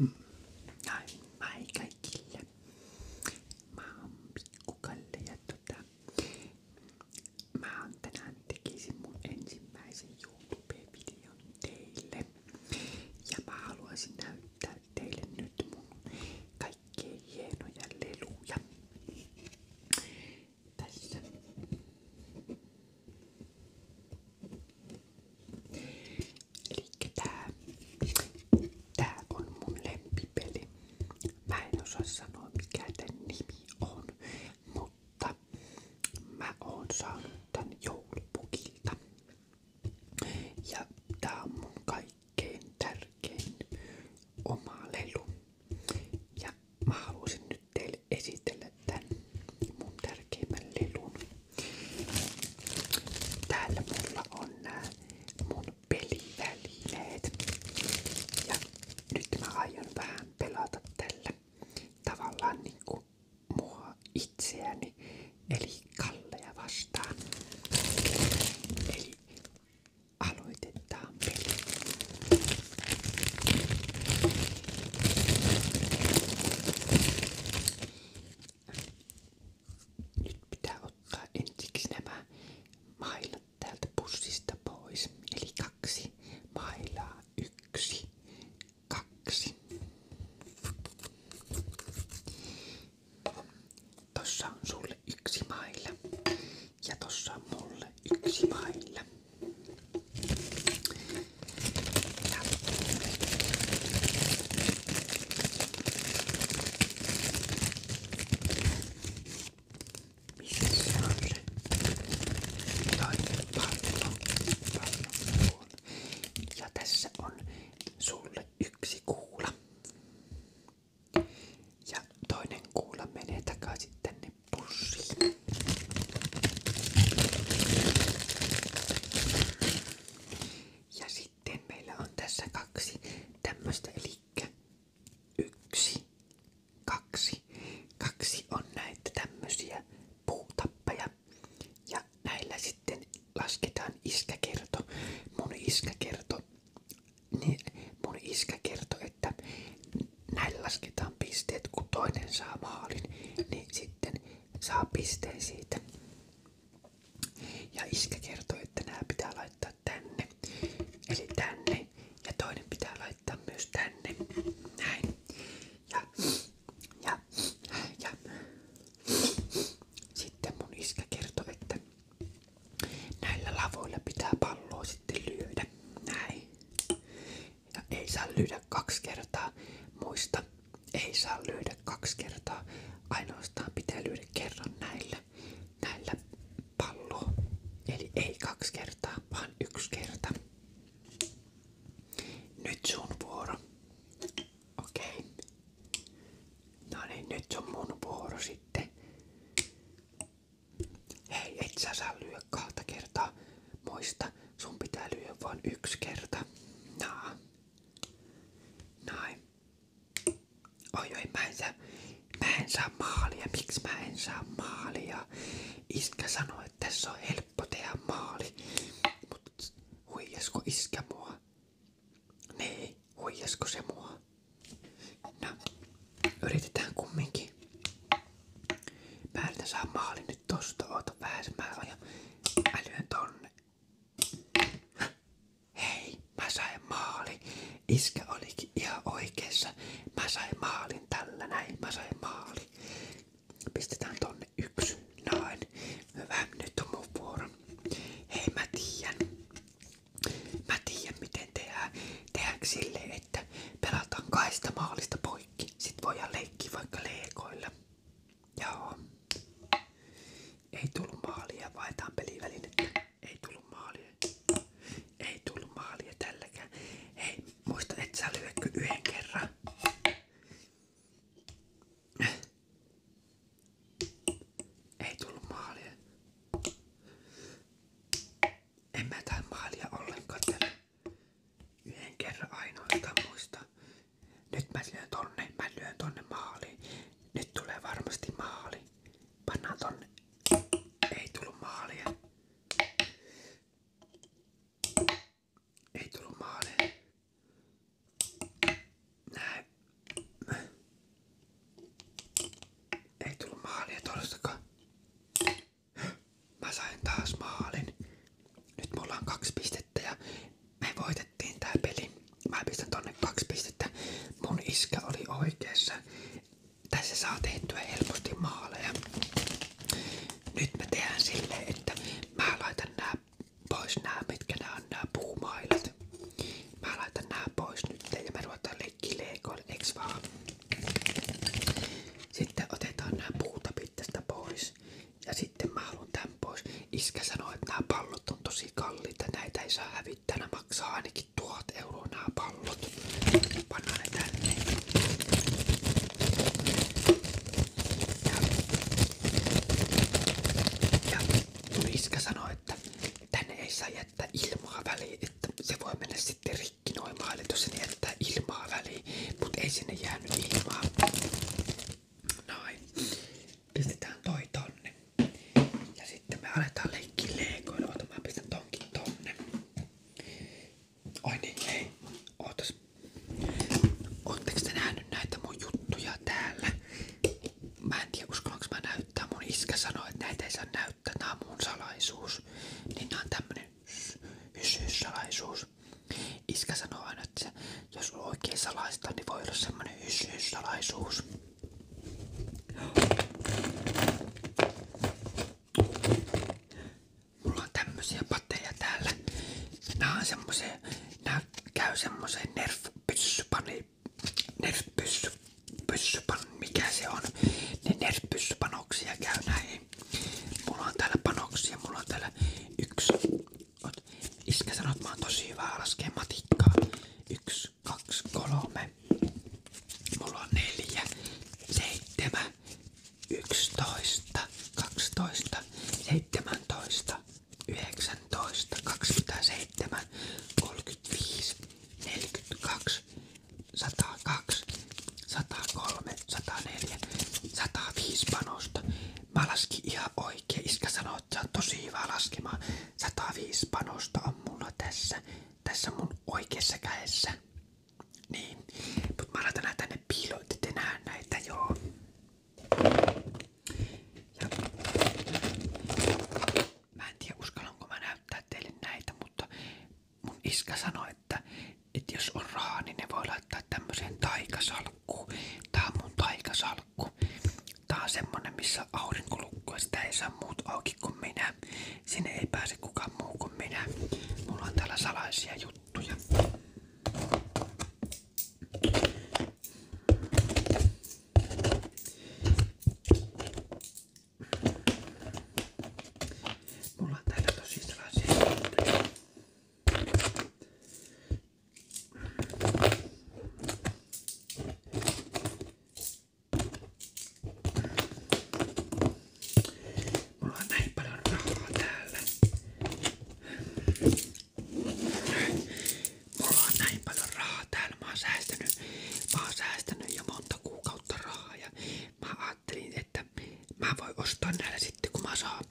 Mm. Ai, ai kaikille. Mä oon pikkukalle ja tota, mä oon tänään tekisin mun ensimmäisen YouTube-videon teille. Ja mä haluaisin näyttää teille nyt mun kaikkein hienoja leluja. Tässä. Eli tää, tää on mun lempipeli. Mä en osaa sanoa mikä tän nimi on, mutta mä oon saanut tän joulupukilta. Ja tää on mun kaikkein tärkein oma lelu. Ja mä haluaisin nyt teille esitellä tän mun tärkeimmän lelun. Täällä mulla on nää mun pelivälineet. Ja nyt mä aion vähän pelata tällä tavallaan niinku mua itseäni, eli Kalleja vastaan. Eli aloitetaan peli. Nyt pitää ottaa ensiksi nämä mailat täältä pussista pois. Eli kaksi mailaa. Yksi, kaksi. Tossa on sulle yksi mailla ja tossa on mulle yksi mailla. Ja. Missä se on se? Taivaallo. Ja tässä on sulle yksi kuula. Ja toinen kuula menee takaisin tänne pussiin. Ja sitten meillä on tässä kaksi tämmöistä, eli yksi, kaksi. Kaksi on näitä tämmöisiä puutappeja. Ja näillä sitten lasketaan iskäkerto. Mun iskä kertoi, niin mun iskä kertoi, että näillä lasketaan pisteet, kun toinen saa maalin, niin sitten saa pisteen siitä. Ja iskä kertoi, että nämä laittaa tänne. Eli tänne. Ja toinen pitää laittaa myös tänne. Näin. Ja, ja, ja. Sitten mun iskä kertoi, että näillä lavoilla pitää palloa sitten lyödä. Näin. Ja ei saa lyödä kaksi kertaa. Muista, ei saa lyödä kaksi kertaa. Ainoastaan pitää lyödä kerran näillä, näillä palloa. Eli ei kaksi kertaa, vaan yksi kerta. Nyt sun vuoro. Okei. Okay. No niin, nyt on mun vuoro sitten. Hei, et sä saa lyödä kahta kertaa. Muista, sun pitää lyödä vain yksi kerta. Naa. Noin. Oi, oi, mä en saa, mä en saa maalia. Miksi mä en saa maalia? Iskä sanoi, että tässä on helppo tehdä maali. Mut huijasko iskä mua? Niin, huijasko se mua? No, yritetään kumminkin. Mä yritän saa maalin nyt tosta. Oota vähän, mä ajan älyön tonne. Hei, mä sain maali. Iskä olikin ihan oikeassa. Mä sain maalin tällä näin. Mä sain maali. Pistetään tonne yksi. Noin. Hyvä, nyt on mun vuoro. Hei, mä tiedän. Mä tiedän miten tehdään. Tehdäänkö silleen, että pelataan kaista maalista poikki. Sit voidaan leikkiä vaikka leekoilla. Joo. Ei tullut maalia, vaihtaan pelivälinettä. Ei tullut maalia. Ei tullut maalia tälläkään. Hei, muista et sä lyötkö yhden kerran. Ei tullut maalia. En mä tää maalia ollenkaan tällä. Yhden kerran ainoastaan muista. Nyt mä lyön tonne, mä lyön tonne maaliin. Nyt tulee varmasti maali. Pannaan tonne. Ei tullut maalia. Ei tullut maalia. Näin. Ei tullut maalia todellakaan. Mä sain taas maalin. Nyt mulla on kaksi pistettä pistettä ja me voitettiin tää peli. Mä pistän tonne kaksi pistettä. Mun iskä oli oikeassa. Tässä saa tehtyä helposti maaleja. Nyt me tehdään silleen, että mä laitan nää pois nää, mitkä nää on nää puumailat. Mä laitan nää pois nyt ja me ruvetaan leikkiä leikoilla, eiks vaan? Sitten otetaan nämä puuta tästä pois ja sitten mä haluan tän pois. Iskä sanoi, että nämä pallot on tosi kalliita. Näitä ei saa hävittää. Nämä maksaa ainakin tuhat euroa nämä pallot. Pannaan ne tänne. Ja, ja mun iskä sanoi, että tänne ei saa jättää ilmaa väliin, että se voi mennä sitten rikki noin maille, jos se jättää ilmaa väliin, mutta ei sinne jäänyt ilmaa. Noin. Pistetään toi tonne. Ja sitten me aletaan leikkiä leikoilla. Ota mä tonkin tonne. Oi niin, hei. Ootas. Ootteko te nähnyt näitä täällä? Mä en tiedä näyttää. Mun iskä että näitä saa näyttää. Tää on Niin on tämmönen hys, hys Iskä sanoo aina, että jos on oikein salaista, niin voi olla semmonen hysy Mulla on tämmösiä pateja täällä. Nää on semmosia, nää käy semmoseen nerf-pyssypani, mikä se on. Ne nerf-pyssypanoksia käy näin. Mulla on täällä panoksia, mulla on täällä yksi, Oot. Iskä sanoo, että mä oon tosi hyvä laskee matikkaa. Yksi, kaksi, kolme. Mulla on neljä, seitsemän, yksitoista, kaksitoista, seitsemäntoista, yhdeksäntoista, kaksikymmentäseitsemän, kolmekymmentäviisi, neljäkymmentäkaksi, satakaksi, satakolme, sataneljä, sataviisi panosta. Mä laskin ihan oikein. Iskä sanoi, että sä oot tosi hyvä laskemaan. 105 panosta on mulla tässä. Tässä mun oikeassa kädessä. Niin. Mut mä laitan tänne piiloon, että te näitä joo. Ja. Mä en tiedä uskallanko mä näyttää teille näitä, mutta mun iskä sanoi, että, että jos on rahaa, niin ne voi laittaa tämmöiseen taikasalkkuun. Tää on mun taikasalkku salkku. Tää on semmonen, missä aurinkolukkua sitä ei saa muut auki kuin minä. Sinne ei pääse kukaan muu kuin minä. Mulla on täällä salaisia juttuja. Mulla on täällä tosi juttuja. Mulla on näin paljon rahaa täällä. Mulla on näin paljon rahaa täällä. Mä oon säästänyt, mä oon säästänyt jo monta kuukautta rahaa ja mä ajattelin, että mä voin ostaa näillä sitten kun mä saan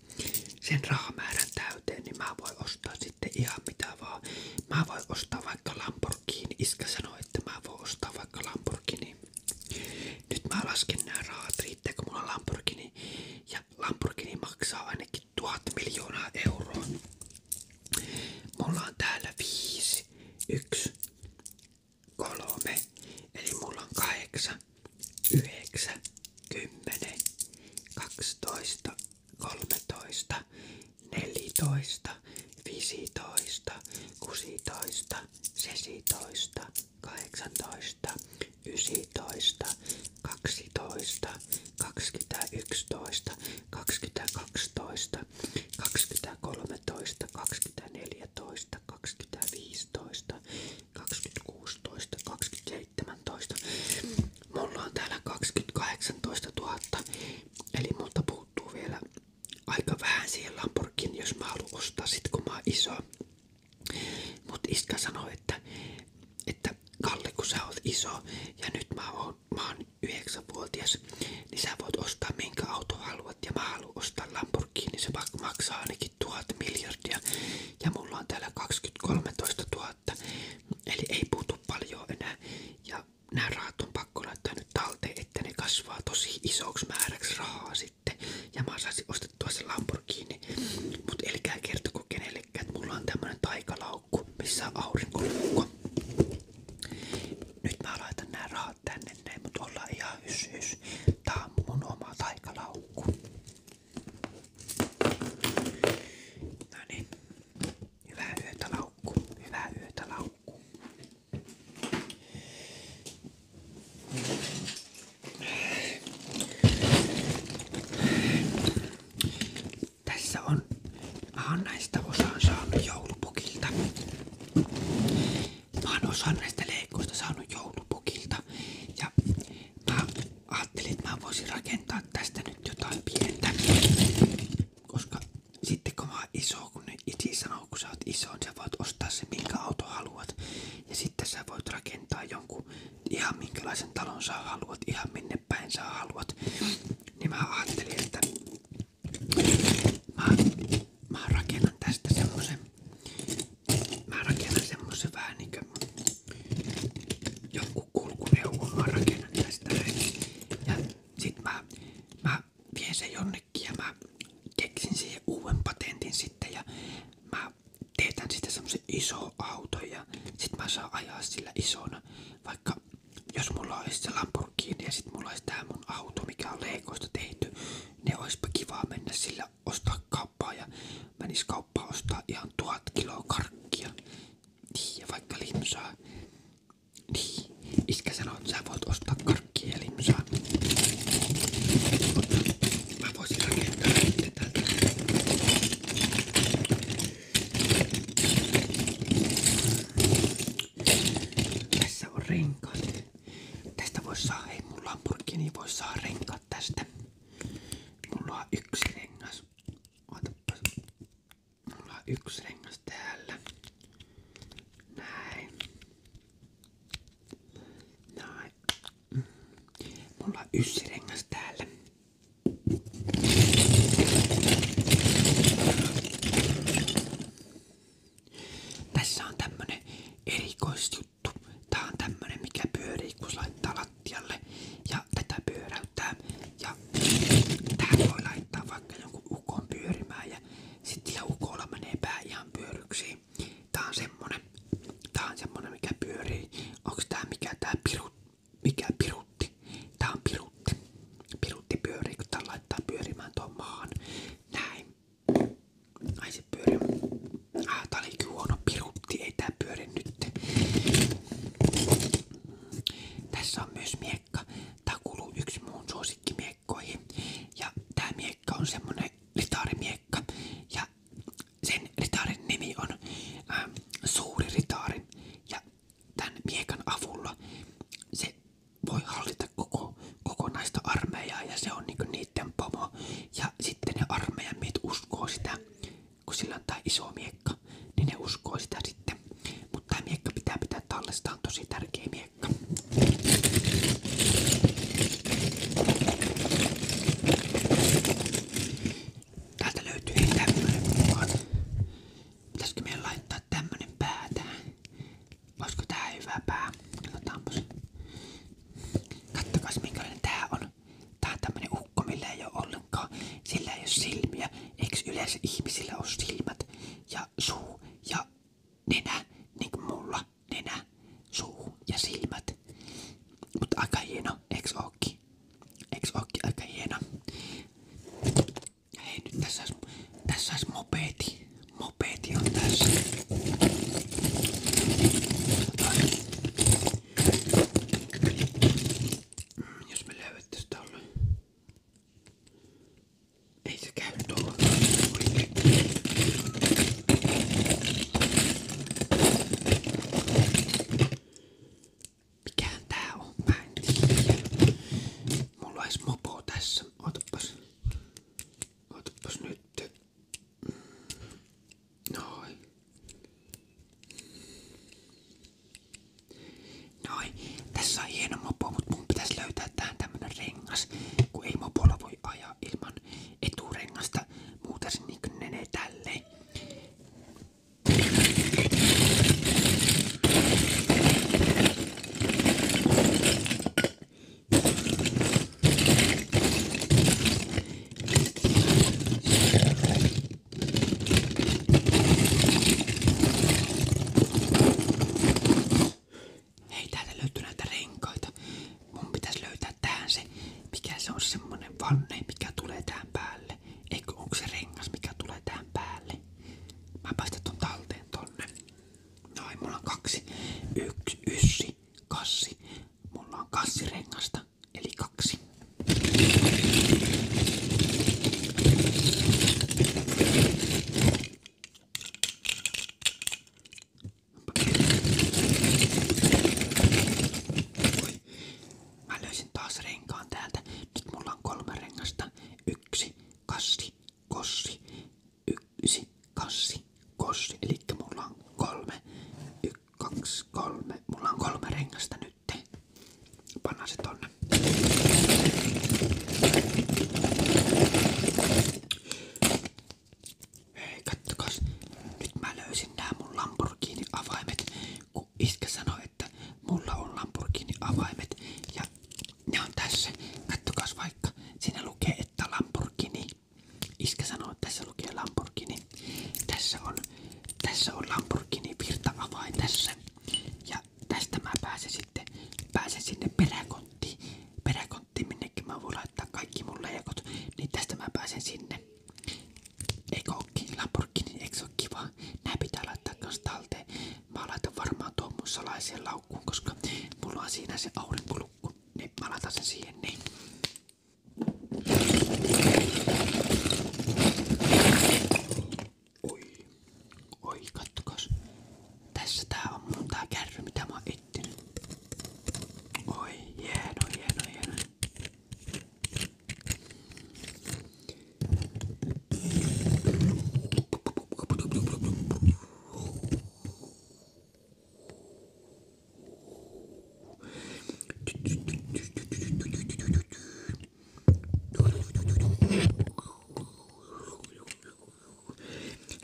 sen rahamäärän täyteen, niin mä voin ostaa sitten ihan mitä vaan. Mä voin ostaa vaikka Lamborghini. Iskä sanoi, että mä voin ostaa vaikka Lamborghini. Nyt mä lasken nämä rahat riittää, kun mulla on Lamborghini. Ja Lamborghini maksaa ainakin tuhat miljoonaa euroa. Mulla on täällä viisi, yksi, kolme, eli mulla on kahdeksan, yhdeksän, kymmenen, kaksitoista, kolmetoista, nelitoista, viisitoista, kuusitoista, seitsemäntoista, kahdeksantoista, yksitoista, kaksitoista, kaksikymmentäyksitoista, kaksikymmentäkaksitoista, kaksikymmentäkolmetoista, kaksikymmentäneljätoista, kaksikymmentäviisitoista. 2016, 2017. Mulla on täällä 2018 000, eli multa puuttuu vielä aika vähän siihen Lamborghini, jos mä haluan ostaa sit kun mä oon iso. Mut iskä sanoi, että, että Kalle kun sä oot iso ja nyt mä oon, mä oon 9-vuotias, niin sä voit ostaa minkä auto haluat ja mä haluan ostaa Lamborghini, niin se maksaa ainakin tuhat miljardia ja mulla on täällä 2013 000 000. Eli ei puutu paljon enää. Ja nämä rahat on pakko laittaa nyt talteen, että ne kasvaa tosi isoksi määräksi rahaa sitten. Ja mä saisin ostettua se Lamborghini. Mut elkää kertoko kenellekään, että mulla on tämmönen taikalaukku, missä on aurinkolaukku. Nyt mä laitan nämä rahat tänne näin, mut ollaan ihan hys hys. on oma taikalaukku. No niin. Hyvää yötä laukku. Hyvää yötä laukku. Tässä on. Mä näistä osaan saanut joulupukilta. Mä oon osan näistä leikkuista saanut joulupukilta. Ja mä ajattelin, että mä voisin rakentaa tästä nyt jotain pientä. Koska sitten kun mä oon iso, kun ne iti sanoo, kun sä oot iso, niin sä voit ostaa se minkä auto haluat. Ja sitten sä voit rakentaa jonkun ihan minkälaisen talon sä haluat, ihan minne päin sä haluat. Niin mä ajattelin, että mä, mä rakennan tästä semmosen. Mä rakennan semmosen vähän niinkö joku kulkuneuvo mä rakennan tästä Ja sit mä, mä vien ja mä keksin siihen uuden patentin sitten ja mä teetän sitten semmosen iso auto ja sit mä saan ajaa sillä isona. Vaikka jos mulla olisi se ja sit mulla olisi tää mun auto, mikä on leikoista ne olisipa kiva mennä sillä ostaa kauppaa ja kauppa ostaa ihan tuhat kiloa karkkia. Niin, ja vaikka limsaa. Niin, iskä sanoo, että sä voit ostaa karkkia ja limsaa. Mutta mä voisin rakentaa sitten täältä. Tässä on renkaat. Tästä voisi saa, hei mun Lamborghini voi saa renkaat tästä. Mulla on yksi rengas. Otapas. Mulla on yksi rengas täällä. Näin. Näin. Mulla on yksi rengas täällä. Tässä on tämmönen erikoisjuttu. Tää on tämmönen mikä pyörii kun laittaa lattialle ja ja tätä pyöräyttää ja tähän voi laittaa vaikka jonkun ukon pyörimään ja sitten sillä ukolla menee pää ihan pyöryksiin. Tää on semmonen, tää on semmonen mikä pyörii. Onks tää mikä tää pirut, mikä pirutti? Tää on pirutti. Pirutti pyörii kun tää laittaa pyörimään tuon maan. Näin. Ai se pyörii. Ah, tää oli kyllä huono pirutti, ei tää pyöri nyt. Tässä on myös miekka. Tää kuuluu yksi muun suosikkimiekkoihin. Ja tää miekka on semmonen ritaarimiekka. Ja sen ritaarin nimi on äh, Suuri ritaari. Ja tämän miekan avulla se voi hallita koko kokonaista armeijaa ja se on niinku niiden pomo. Ja sitten ne armeijan uskoo sitä kun sillä on tää iso miekka, niin ne uskoo sitä sitten. Mutta tämä miekka pitää pitää tallessa, tää on tosi tärkeä miekka. Täältä laittaa tämmönen pää tähän? Olisiko tää hyvä pää? Katsotaanpas. Kattokas minkälainen tämä on. Tää on tämmönen ukko, millä ei ole ollenkaan. Sillä ei ole silmiä. Eiks yleensä ihmisillä ole silmät ja suu ja nenä, niin kuin mulla. Nenä, suu ja silmät. Mutta aika hieno, eiks ooki? Eiks ooki aika hieno? Hei nyt tässä olisi, tässä olisi mopedi. Mopedi on tässä. Jos me löydättiin tolle. Ei se käy tuolla. Oikein. Mikähän tää on? Mä en tiedä. Mulla olisi mopo tässä. Otapas. Otapas nyt. Noin. Noin. Tässä on hieno mopo, mutta mun pitäisi löytää tähän tämmönen rengas, kun ei mopolla voi ajaa ilman eturengasta. Muuten se niinku menee tälleen. Hei, täältä löytyy näitä Mun pitäisi löytää tähän mikä se on semmonen vanne, mikä tulee tähän Eikö onko rengas, mikä tulee tähän Mä päästän ton talteen tonne. Noin, mulla on kaksi. Yksi, yssi, kassi. Mulla on kassirengasta toista, eli kaksi. Oi. Mä löysin on kolme rengasta. Yksi, kassi, kossi. Yksi, kassi, kossi. Eli mulla on kolme. Yksi kaksi, kolme. Mulla on kolme rengasta nyt. Pannaan se tonne. Nyt mä löysin nämä mun avaimet, kun iskä että mulla on Lamborghini avaimet ja ne on tässä. Kattokas vaikka. Siinä lukee, että Lamborghini. Iskä tässä lukee Lamborghini. Tässä on, tässä on Lamborghini virtaavain tässä. Ja tästä mä pääsen sitten pääsen sinne peräkonttiin. Peräkonttiin minnekin mä voin laittaa kaikki mun leikot. Niin tästä mä pääsen sinne. Eikö ookin Lamborghini, eikö se oo kiva? Nää pitää laittaa kans talteen. Mä laitan varmaan tuon mun salaiseen laukkuun, koska mulla on siinä se aurinkolukku. Niin mä laitan sen siihen niin. Oi, oi, kattokas. Tässä tää on mun tää kärry, mitä mä oon etsinyt. Oi, hieno, hieno, hieno.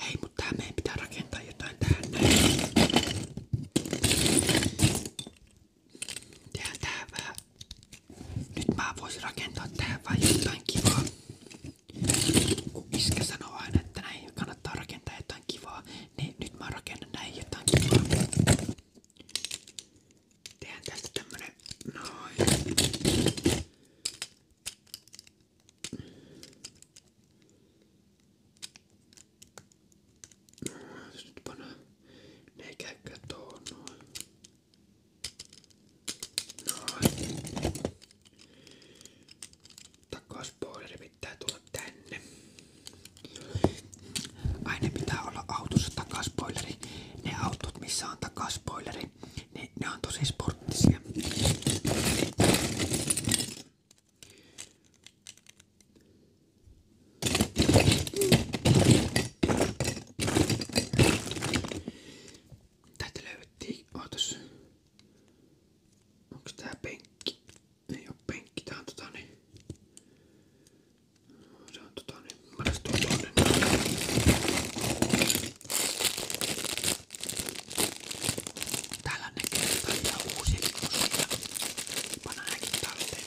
Hei, mutta tää meidän pitää rakentaa jotain tähän näin. Tehdään tähän vähän. Nyt mä voisin rakentaa tähän vähän jotain kivaa. Kun iskä sanoo aina, että näin kannattaa rakentaa jotain kivaa, niin nyt mä rakennan näin jotain kivaa. Tehdään tästä tämmönen noin. Jos nyt pannaan, ne ei käykään tuohon noin autosta tänne. Aina pitää olla autossa takaspoileri. Ne autot, missä on takaspoileri, niin ne on tosi sporttisia. Täältä löydettiin, ootas. Onks tää penkki? Ei oo penkki, tää on tota niin. Tää on tota niin. Mä lähes tuon tonne. Täällä näkee kaikkia uusia lippusoita. Panna nääkin talteen.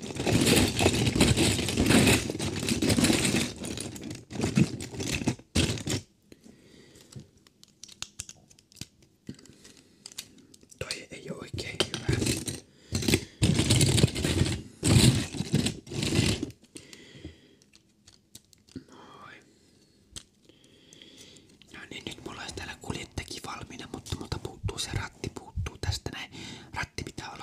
Toi ei ole oikein hyvä. Noin. No niin, nyt mulla olisi täällä kuljettajakin valmiina, mutta multa puuttuu se ratti, puuttuu tästä näin. Ratti pitää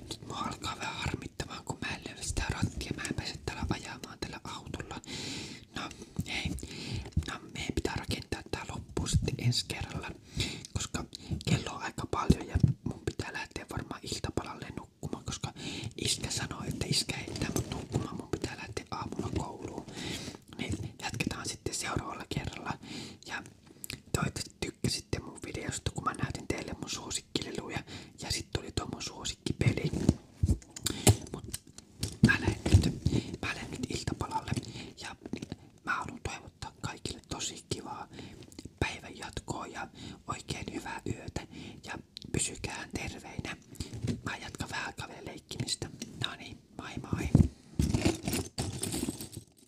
Nyt mua alkaa vähän harmittamaan, kun mä en löydä sitä rattia. Mä en pääse täällä ajamaan tällä autolla. No hei, no meidän pitää rakentaa tää loppuun sitten ensi kerralla, koska kello on aika paljon ja mun pitää lähteä varmaan iltapalalle nukkumaan, koska iskä sanoi, että iskä heittää mut nukkumaan, mun pitää lähteä aamulla kouluun. Niin jatketaan sitten seuraavalla kerralla ja toivottavasti tykkäsitte mun videosta, kun mä näytin teille mun suosikkileluja ja sitten tuli tuo mun suosikkipeli. Mut mä mä lähden nyt ja mä haluan toivottaa kaikille tosi kivaa päivän jatkoa ja oikein hyvää yötä ja pysykää terveinä. Mä jatkan vähän kaveleen leikkimistä. No